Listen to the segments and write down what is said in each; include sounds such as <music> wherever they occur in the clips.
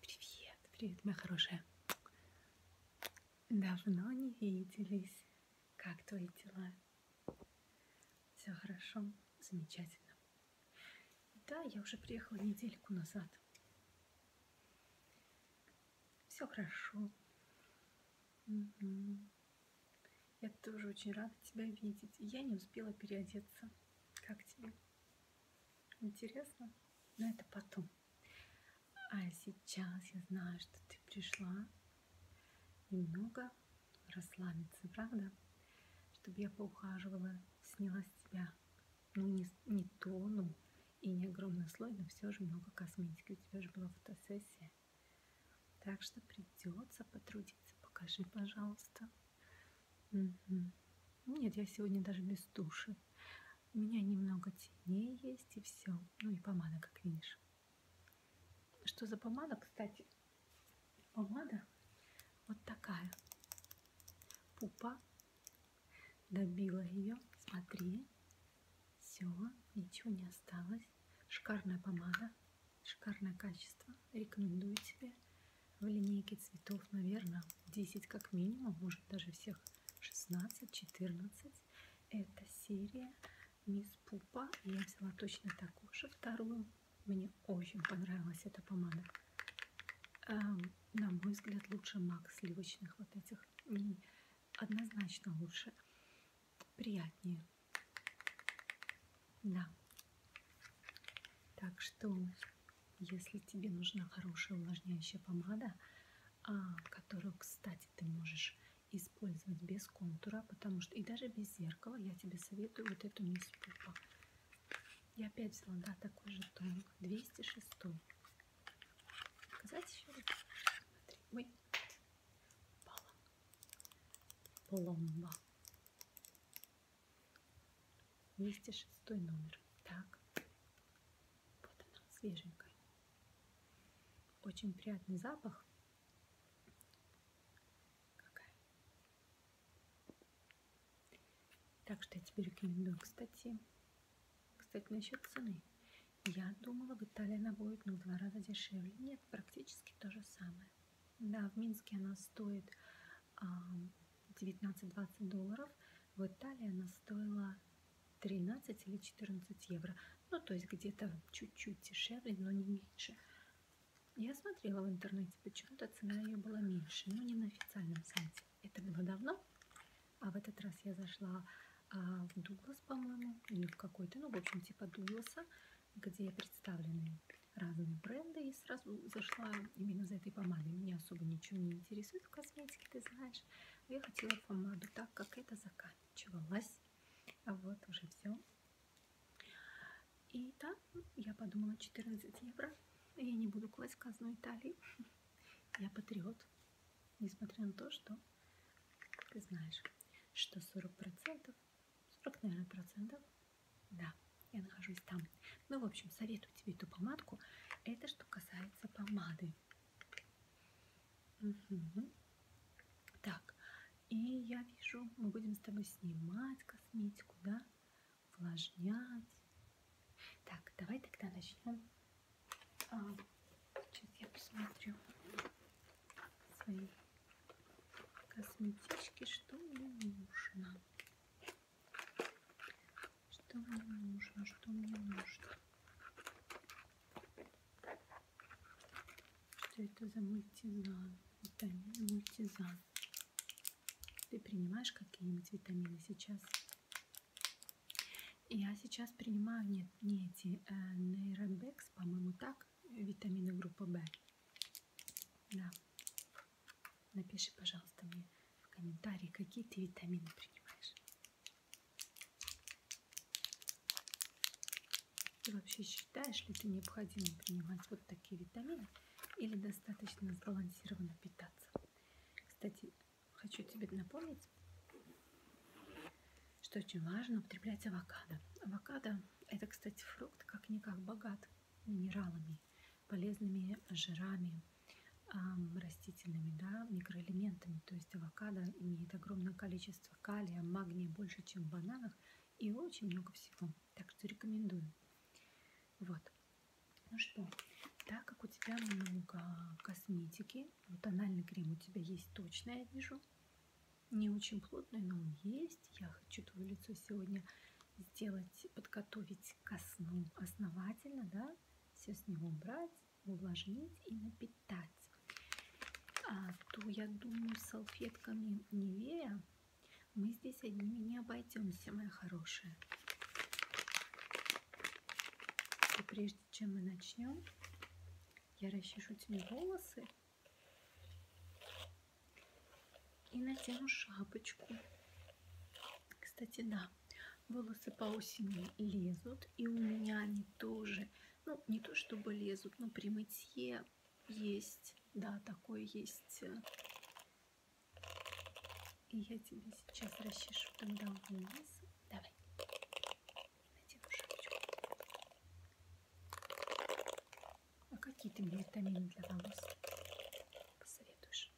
Привет, привет, моя хорошая. Давно не виделись. Как твои дела? Все хорошо, замечательно. Да, я уже приехала недельку назад. Все хорошо. Угу. Я тоже очень рада тебя видеть. Я не успела переодеться. Как тебе? Интересно? Но это потом. А сейчас я знаю, что ты пришла немного расслабиться, правда? Чтобы я поухаживала, сняла с тебя, ну не, не тону и не огромный слой, но все же много косметики. У тебя же была фотосессия. Так что придется потрудиться. Покажи, пожалуйста. Угу. Нет, я сегодня даже без туши. У меня немного теней есть и все. Ну и помада, как видишь. Что за помада, кстати? Помада вот такая. Пупа. Добила ее. Смотри. Все, ничего не осталось. Шикарная помада. Шикарное качество. Рекомендую тебе в линейке цветов, наверное, 10 как минимум, может даже всех 16-14. Это серия Мисс Пупа. Я взяла точно такую же вторую. Мне очень понравилась эта помада. Эм, на мой взгляд, лучше мак сливочных вот этих. Однозначно лучше. Приятнее. Да, так что, если тебе нужна хорошая увлажняющая помада, а, которую, кстати, ты можешь использовать без контура, потому что и даже без зеркала я тебе советую вот эту мисс Пупа. Я опять взяла, да, такой же тонк, 206. Показать еще раз? Смотри, ой, баллон, пломба. 206 номер. Так. Вот она, свеженькая. Очень приятный запах. Какая. Так что я тебе рекомендую, кстати. Кстати, насчет цены. Я думала, в Италии она будет ну, в два раза дешевле. Нет, практически то же самое. Да, в Минске она стоит 19-20 а, долларов, в Италии она стоила 13 или 14 евро. Ну, то есть где-то чуть-чуть дешевле, но не меньше. Я смотрела в интернете, почему-то цена ее была меньше, но не на официальном сайте. Это было давно, а в этот раз я зашла а, в Дуглас, по-моему, или в какой-то, ну, в общем, типа Дугласа, где представлены разные бренды и сразу зашла именно за этой помадой. Меня особо ничего не интересует в косметике, ты знаешь. Я хотела помаду, так как это заканчивалось. А вот уже все. И там я подумала 14 евро. Я не буду класть в казну Италии. <laughs> Я патриот. Несмотря на то, что ты знаешь, что 40%, 40, наверное, процентов да, я нахожусь там. Ну, в общем, советую тебе эту помадку. Это что касается помады. Угу. Так, и я вижу, мы будем с тобой снимать косметику, да? Увлажнять. Так, давай тогда начнем. А, сейчас я посмотрю свои косметички, что мне нужно. Что мне нужно, что мне нужно? Что это за мультизан? Витамин мультизан. Ты принимаешь какие-нибудь витамины сейчас? Я сейчас принимаю, нет, не эти, э, нейробекс, по-моему, так, витамины группы В. Да. Напиши, пожалуйста, мне в комментарии, какие ты витамины принимаешь. Ты вообще считаешь ли ты необходимо принимать вот такие витамины или достаточно сбалансированно питаться? Кстати, хочу тебе напомнить, что очень важно употреблять авокадо. Авокадо – это, кстати, фрукт как-никак богат минералами, полезными жирами, растительными да, микроэлементами. То есть авокадо имеет огромное количество калия, магния больше, чем в бананах и очень много всего. Так что рекомендую. Вот. Ну что, так как у тебя много косметики, ну, тональный крем у тебя есть точно, я вижу. Не очень плотный, но он есть. Я хочу твое лицо сегодня сделать, подготовить ко сну основательно, да, все с него убрать, увлажнить и напитать. А, то, я думаю, салфетками Невея мы здесь одними не обойдемся, моя хорошая. И прежде чем мы начнем, я расчешу тебе волосы и надену шапочку. Кстати, да, волосы по осени лезут, и у меня они тоже, ну, не то чтобы лезут, но при мытье есть, да, такое есть. И я тебе сейчас расчешу тогда вниз. Давай. Надену шапочку. А какие ты мне витамины для волос посоветуешь?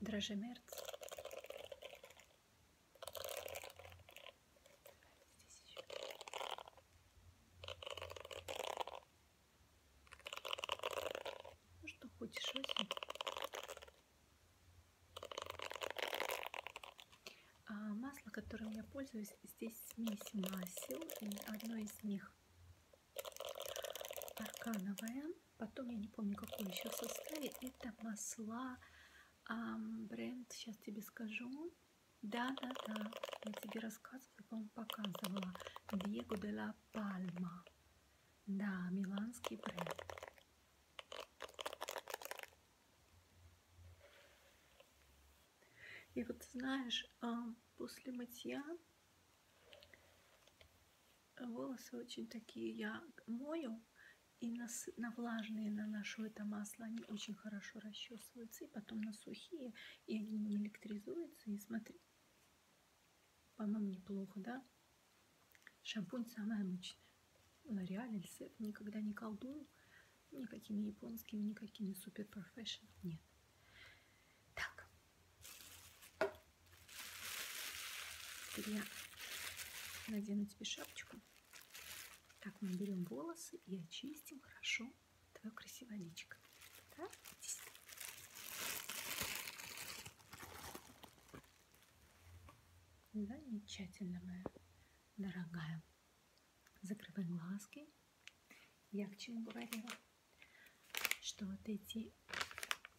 Дрожжемерц. Здесь еще. Ну что, хочешь осень? А масло, которым я пользуюсь, здесь смесь масел, и одно из них аркановое, потом я не помню, какое еще в составе, это масла, а, бренд, сейчас тебе скажу, да-да-да, я тебе рассказывала, по-моему, показывала, Диего де ла Пальма, да, миланский бренд. И вот знаешь, а, после мытья волосы очень такие я мою и на, на влажные наношу это масло, они очень хорошо расчесываются, и потом на сухие, и они не электризуются, и смотри, по-моему, неплохо, да? Шампунь самая обычная. Лореаль или Сеф никогда не колдую, Никакими японскими, никакими супер профессионал нет. Так. Теперь я надену тебе шапочку. Так, мы берем волосы и очистим хорошо твое красивое личико. Да? Здесь. Замечательно, моя дорогая. Закрывай глазки. Я к чему говорила, что вот эти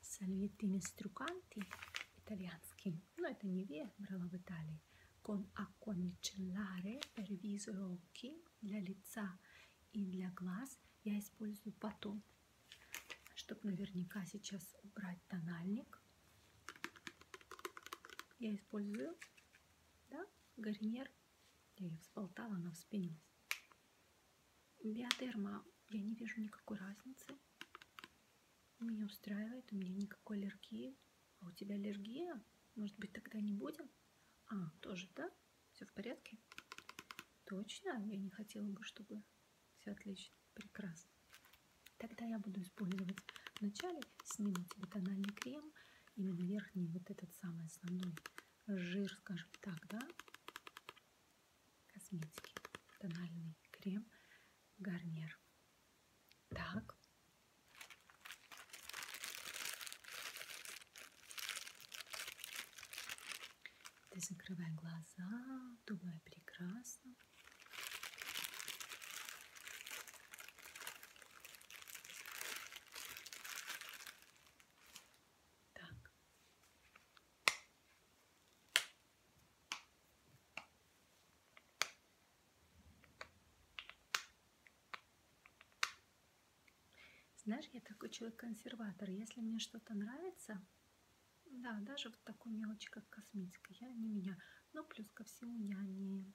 сальвитины струканты итальянские, но ну, это не я брала в Италии, con acqua micellare per viso e occhi, для лица и для глаз, я использую потом, чтобы наверняка сейчас убрать тональник. Я использую да, гарнир. Я ее взболтала, она вспенилась. Биодерма, я не вижу никакой разницы. Меня устраивает, у меня никакой аллергии. А у тебя аллергия? Может быть, тогда не будем? А, тоже, да? Все в порядке? Точно? Я не хотела бы, чтобы все отлично. Прекрасно. Тогда я буду использовать вначале сниму телеканальный крем, именно верхний вот этот самый основной жир, скажем так, да, косметики, тональный крем, гарнир. Так. Ты закрывай глаза, думай прекрасно. Так. Знаешь, я такой человек-консерватор. Если мне что-то нравится, да, даже вот такой мелочи, как косметика, я не меня. Но ну, плюс ко всему я не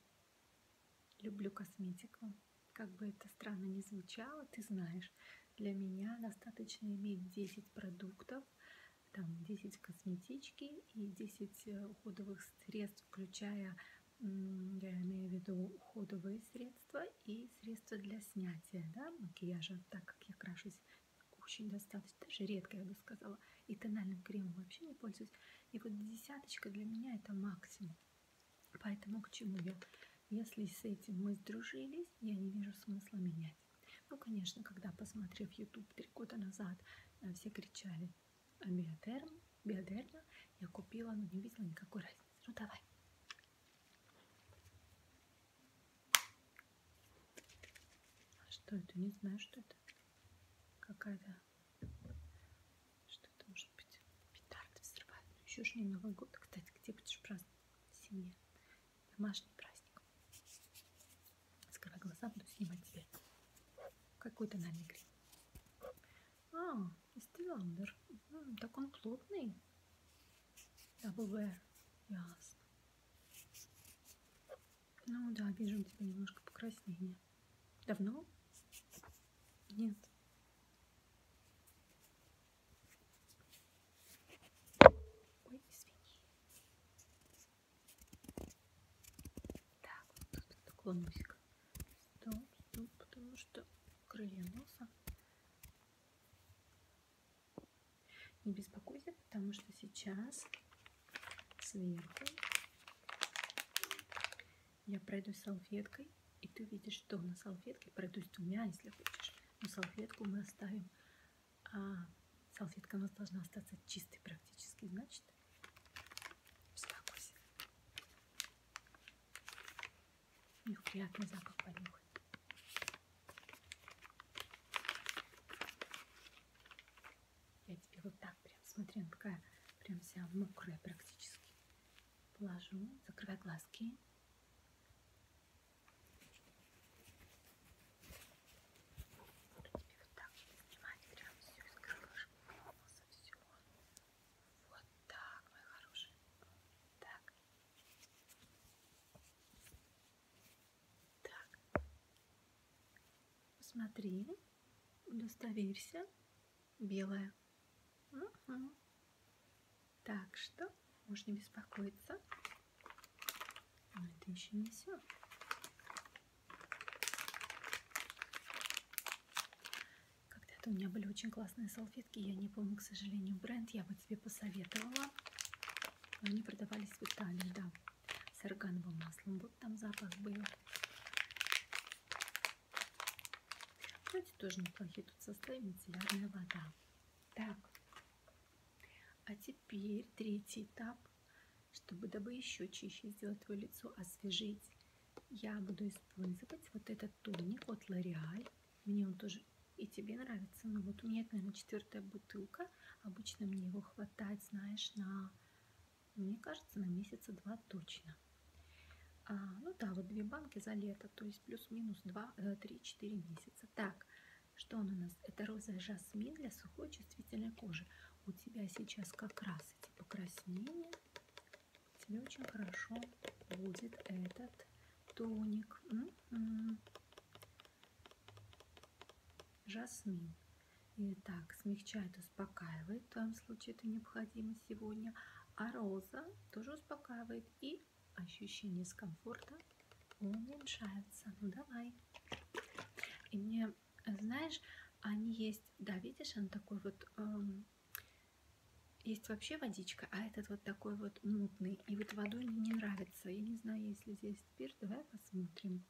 Люблю косметику. Как бы это странно ни звучало, ты знаешь, для меня достаточно иметь 10 продуктов, там 10 косметички и 10 э, уходовых средств, включая, я имею в виду уходовые средства и средства для снятия да, макияжа, так как я крашусь очень достаточно, даже редко, я бы сказала, и тональным кремом вообще не пользуюсь. И вот десяточка для меня это максимум. Поэтому к чему я? Если с этим мы сдружились, я не вижу смысла менять. Ну, конечно, когда, посмотрев YouTube три года назад, э, все кричали «А «Биодерм», «Биодерма», я купила, но не видела никакой разницы. Ну, давай. А что это? Не знаю, что это. Какая-то что это может быть? Петарды взрывают. Но ну, еще же не Новый год. Кстати, где будешь праздновать? В семье. Домашний праздник. Скрывай глаза, буду снимать тебе какой-то намигрин. А, Истиландер. Так он плотный. Double wear. Ясно. Ну да, вижу у тебя немножко покраснение. Давно? Нет. Ой, извини. Так, вот тут наклонюсь-ка. Стоп, стоп, потому что крылья носа. Не беспокойся, потому что сейчас сверху. Я пройдусь салфеткой, и ты видишь, что на салфетке пройдусь двумя, если хочешь. Но салфетку мы оставим. А салфетка у нас должна остаться чистой практически, значит. Успокойся. У них приятный запах понюхать. Я тебе вот так прям, смотри, она такая прям вся мокрая практически. Положу, закрывай глазки. Буду тебе вот так снимать прям все из крылышек, носа, все. Вот так, мои хорошие. Так. Так. Посмотри удостоверься, белая. Угу. Так что можно беспокоиться. Но это еще не все. Когда-то у меня были очень классные салфетки. Я не помню, к сожалению, бренд. Я бы тебе посоветовала. Но они продавались в Италии, да с органовым маслом. Вот там запах был. Кстати, тоже неплохие тут составы мицеллярная вода. Так, а теперь третий этап. Чтобы дабы еще чище сделать твое лицо, освежить, я буду использовать вот этот тоник от L'Oreal. Мне он тоже и тебе нравится. Ну вот у меня это, наверное, четвертая бутылка. Обычно мне его хватает, знаешь, на мне кажется, на месяца два точно. А, ну да, вот две банки за лето, то есть плюс-минус 3-4 э, месяца. Так, что он у нас? Это розовый жасмин для сухой чувствительной кожи. У тебя сейчас как раз эти покраснения. Тебе очень хорошо будет этот тоник. М -м -м. Жасмин. И так, смягчает, успокаивает, в твоем случае это необходимо сегодня. А роза тоже успокаивает и ощущение дискомфорта уменьшается. Ну давай. И мне, знаешь, они есть, да, видишь, он такой вот, эм, есть вообще водичка, а этот вот такой вот мутный. И вот водой мне не нравится. Я не знаю, если здесь спирт, давай посмотрим.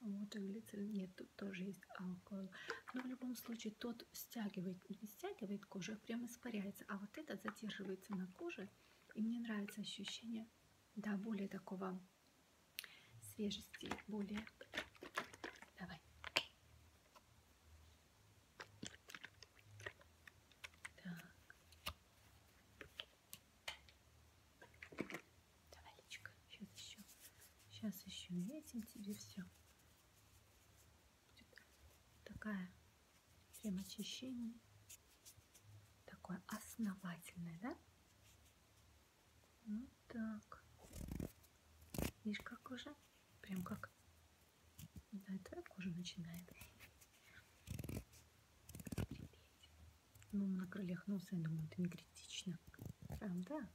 Вот, а глицерин нет, тут тоже есть алкоголь. Но в любом случае тот стягивает, не стягивает кожу, а прям испаряется. А вот этот задерживается на коже. И мне нравится ощущение, да, более такого свежести, более... Давай. Так. Давай, Личка, сейчас еще. Сейчас еще метим тебе все. Будет такая крем очищения. Такое основательное, да? Вот ну так. Видишь, как уже? Прям как да, и твоя кожа начинает. Ну, на крыльях носа, я думаю, это не критично. Правда?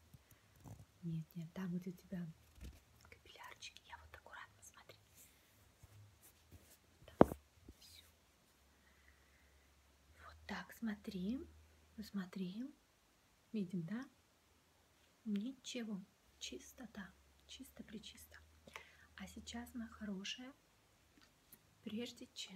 Нет, нет, там, где у тебя капиллярчики, я вот аккуратно смотри. Так, все. Вот так, смотри, смотри. Видим, да? Ничего. Чистота. Чисто-пречисто. А сейчас, моя хорошая, прежде чем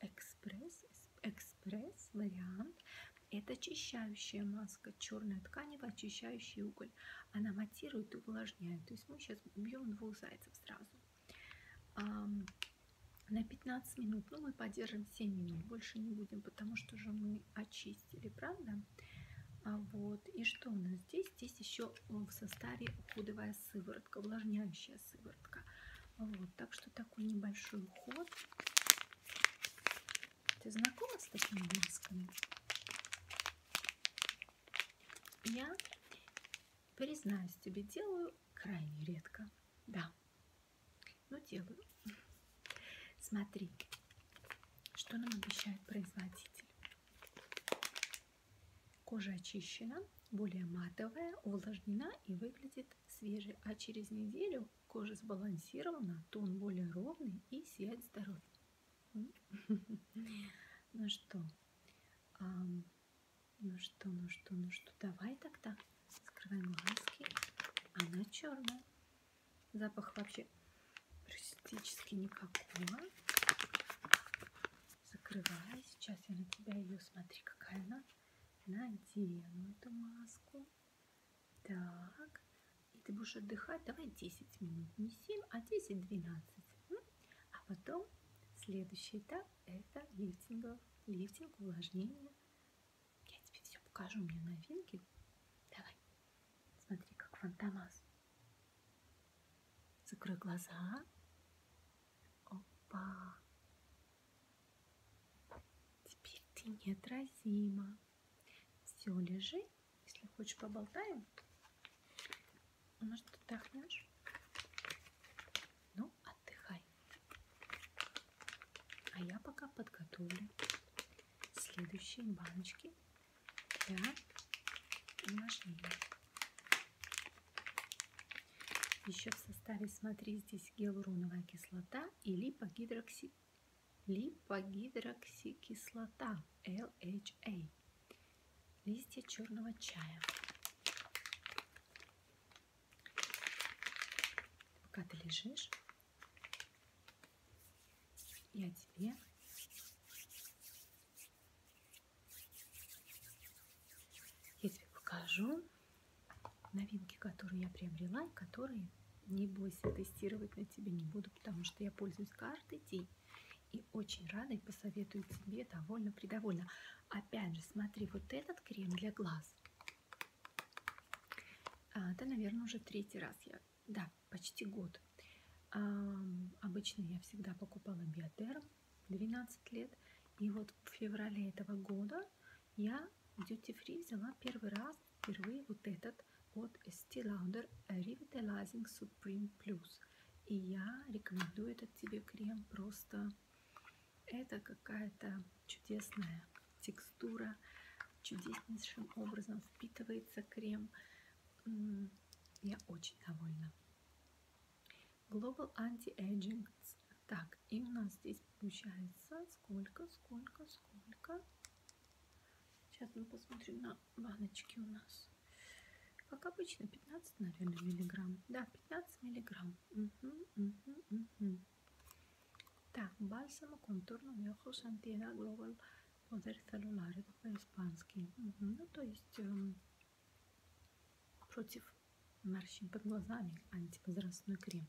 экспресс, экспресс вариант. Это очищающая маска, черная тканевая, очищающий уголь. Она матирует и увлажняет. То есть мы сейчас бьем двух зайцев сразу. На 15 минут, ну мы подержим 7 минут, больше не будем, потому что же мы очистили, правда? А вот, и что у нас здесь? Здесь еще в составе уходовая сыворотка, увлажняющая сыворотка. Вот, так что такой небольшой уход. Ты знакома с такими масками? Я, признаюсь тебе, делаю крайне редко. Да, но делаю. Смотри, что нам обещает производитель. Кожа очищена, более матовая, увлажнена и выглядит свежей. А через неделю если кожа сбалансирована, то он более ровный и сияет здоровьем. <laughs> Ну что, ну что, ну что, ну что, давай тогда скрываем глазки. Она черная. Запах вообще практически никакого. Закрывай. Сейчас я на тебя ее. Смотри, какая она надену эту маску. Так, и ты будешь отдыхать, давай 10 минут, не 7, а 10-12. А потом следующий этап это лифтинг, лифтинг, увлажнение. Я тебе все покажу, мне новинки. Давай, смотри, как фантомас. Закрой глаза. Опа. Теперь ты неотразима. Все, лежи. Если хочешь, поболтаем. Ну, может, отдохнешь? Ну, отдыхай. А я пока подготовлю следующие баночки для умножения. Еще в составе, смотри, здесь гиалуроновая кислота и липогидрокси... липогидроксикислота LHA. Листья черного чая. Пока ты лежишь, я тебе я тебе покажу новинки, которые я приобрела и которые не бойся тестировать на тебе не буду, потому что я пользуюсь каждый день. И очень рада и посоветую тебе довольно-придовольно. Опять же, смотри, вот этот крем для глаз. А, это, наверное, уже третий раз я... Да, почти год. А, обычно я всегда покупала биотерм 12 лет. И вот в феврале этого года я в Duty Free взяла первый раз впервые вот этот от Estee Lauder Revitalizing Supreme Plus. И я рекомендую этот тебе крем просто. Это какая-то чудесная текстура, чудеснейшим образом впитывается крем. Я очень довольна. Global Anti-Aging. Так, и у нас здесь получается сколько, сколько, сколько. Сейчас мы посмотрим на баночки у нас. Как обычно, 15, наверное, миллиграмм. Да, 15 миллиграмм. Угу, угу, угу. Так, бальсама контурного мехус антина глобал подар целлюлар. Это по-испански. Угу, ну, то есть эм, против морщин под глазами, антипозрастной крем.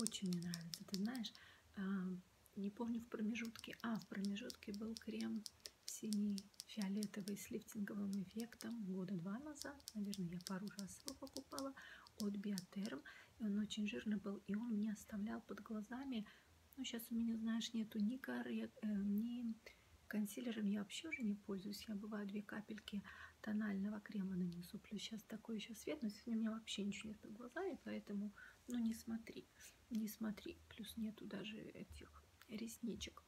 Очень мне нравится. Ты знаешь, а, не помню в промежутке, а в промежутке был крем синий фиолетовый с лифтинговым эффектом года два назад. Наверное, я пару раз его покупала от Биотерм. И он очень жирный был, и он мне оставлял под глазами. Ну, сейчас у меня, знаешь, нету ни коры, э, ни Консилером я вообще уже не пользуюсь. Я бываю две капельки тонального крема нанесу. Плюс сейчас такой еще свет, но сегодня у меня вообще ничего нет под глазами, поэтому ну не смотри, не смотри. Плюс нету даже этих ресничек.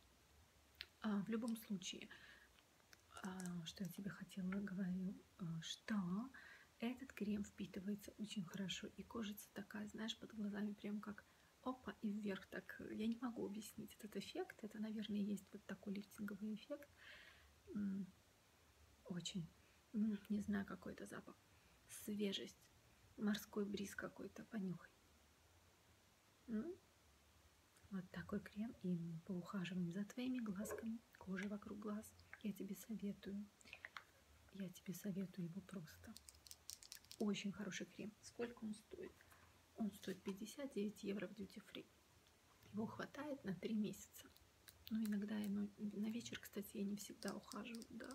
А, в любом случае, а, что я тебе хотела говорю, а, что этот крем впитывается очень хорошо и кожица такая, знаешь, под глазами прям как опа и вверх так. Э, я не могу объяснить этот эффект. Это, наверное, есть вот такой лифтинговый эффект. Очень. Не знаю, какой это запах. Свежесть. Морской бриз какой-то. Понюхай. Вот такой крем. И мы поухаживаем за твоими глазками. Кожа вокруг глаз. Я тебе советую. Я тебе советую его просто. Очень хороший крем. Сколько он стоит. Он стоит 59 евро в duty free. Его хватает на 3 месяца. Но иногда я на, на вечер, кстати, я не всегда ухаживаю, да.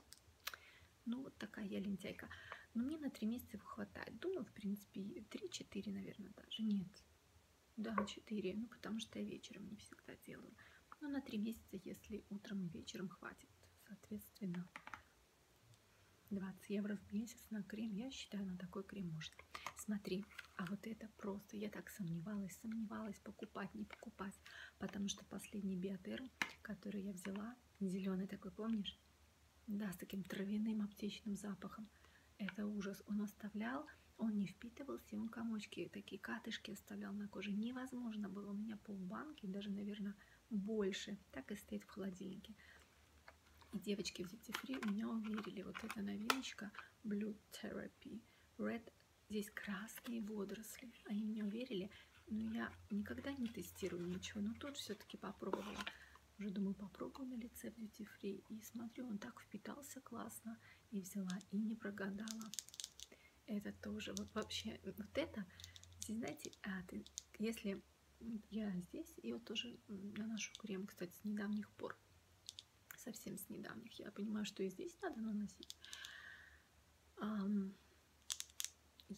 Ну, вот такая я лентяйка. Но мне на 3 месяца его хватает. Думаю, в принципе, 3-4, наверное, даже. Нет. Да, 4. Ну, потому что я вечером не всегда делаю. Но на 3 месяца, если утром и вечером хватит, соответственно. 20 евро в месяц на крем. Я считаю, на такой крем можно. Смотри, а вот это просто. Я так сомневалась, сомневалась, покупать, не покупать. Потому что последний биотер, который я взяла, зеленый такой, помнишь? Да, с таким травяным аптечным запахом. Это ужас. Он оставлял, он не впитывался, он комочки, такие катышки оставлял на коже. Невозможно было. У меня полбанки, даже, наверное, больше так и стоит в холодильнике. И девочки в Duty меня уверили, вот эта новиночка Blue Therapy Red, здесь красные водоросли. Они меня уверили, но я никогда не тестирую ничего, но тут все-таки попробовала. Уже думаю, попробую на лице в Duty Free. И смотрю, он так впитался классно. И взяла, и не прогадала. Это тоже, вот вообще, вот это это, здесь, знаете, а, ты, если я здесь, и вот тоже наношу крем, кстати, с недавних пор, совсем с недавних, я понимаю, что и здесь надо наносить. А,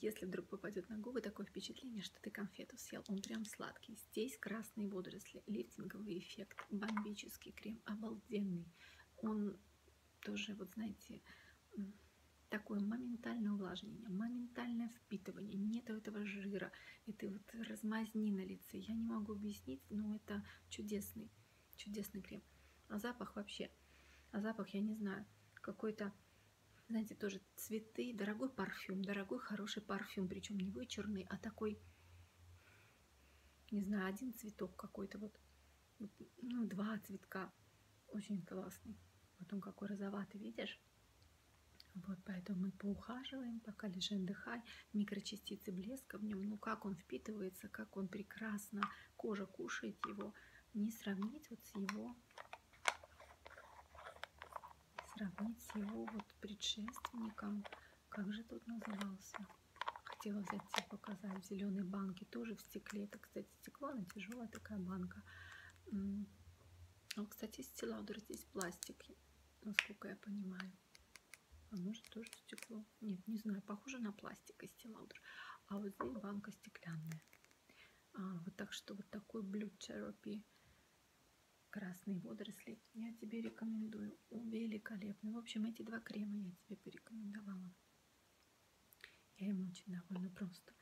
если вдруг попадет на губы, такое впечатление, что ты конфету съел. Он прям сладкий. Здесь красные водоросли, лифтинговый эффект, бомбический крем, обалденный. Он тоже, вот знаете, такое моментальное увлажнение, моментальное впитывание, нет этого жира, этой вот размазни на лице. Я не могу объяснить, но это чудесный, чудесный крем. А запах вообще, а запах я не знаю, какой-то, знаете, тоже цветы, дорогой парфюм, дорогой хороший парфюм, причем не вычурный, а такой, не знаю, один цветок какой-то вот ну, два цветка. Очень классный. Вот он какой розоватый, видишь? Вот, поэтому мы поухаживаем, пока лежи отдыхай. Микрочастицы блеска в нем, ну как он впитывается, как он прекрасно, кожа кушает его. Не сравнить вот с его, сравнить с его вот предшественником. Как же тут назывался? Хотела взять тебе показать в зеленой банке, тоже в стекле. Это, кстати, кстати, стекло, она тяжелая такая банка. А Он, кстати, из Стиладор здесь пластик, насколько я понимаю. А может тоже стекло? Нет, не знаю. Похоже на пластик из Стиладор. А вот здесь банка стеклянная. А, вот так что вот такой Blue Cherokee красные водоросли я тебе рекомендую. Великолепный. В общем, эти два крема я тебе порекомендовала. Я им очень довольна просто.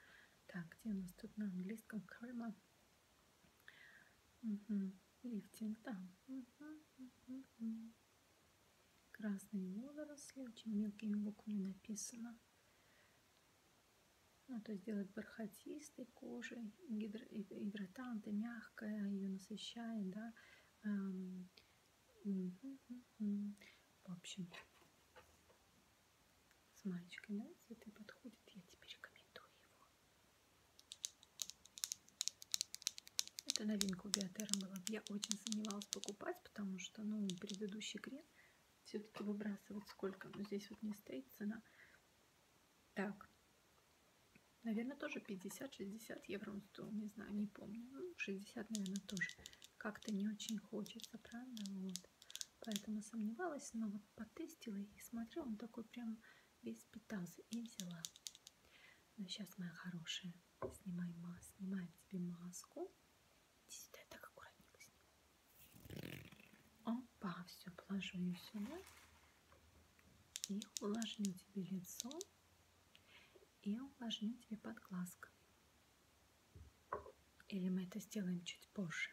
Так, где у нас тут на английском карма? Угу. Лифтинг там. Да. Угу, угу, угу. Красные водоросли, очень мелкими буквами написано. Ну, то есть делает бархатистой кожей, гидро, гидратанты, мягкая, ее насыщает, да, эм, в общем, с мальчикой, да, цветы подходят, я тебе рекомендую его. Это новинка у Биотера была. Я очень сомневалась покупать, потому что, ну, предыдущий крем все-таки выбрасывать сколько. Но здесь вот не стоит цена. Так, наверное, тоже 50-60 евро он стоил, не знаю, не помню. Ну, 60, наверное, тоже как-то не очень хочется, правда? Вот. Поэтому сомневалась, но вот потестила и смотрю, он такой прям весь питался и взяла. Ну, сейчас, моя хорошая, снимай маску, снимаем тебе маску. Иди сюда, я так аккуратненько сниму. Опа, все, положу ее сюда. И увлажню тебе лицо и увлажню тебе подглазка. Или мы это сделаем чуть позже?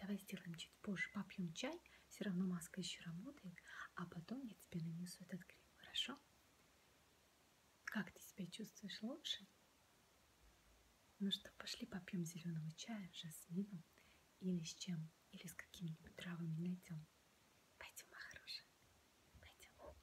Давай сделаем чуть позже, попьем чай, все равно маска еще работает, а потом я тебе нанесу этот крем, хорошо? Как ты себя чувствуешь лучше? Ну что, пошли попьем зеленого чая с жасмином или с чем, или с какими-нибудь травами найдем. Пойдем, моя хорошая.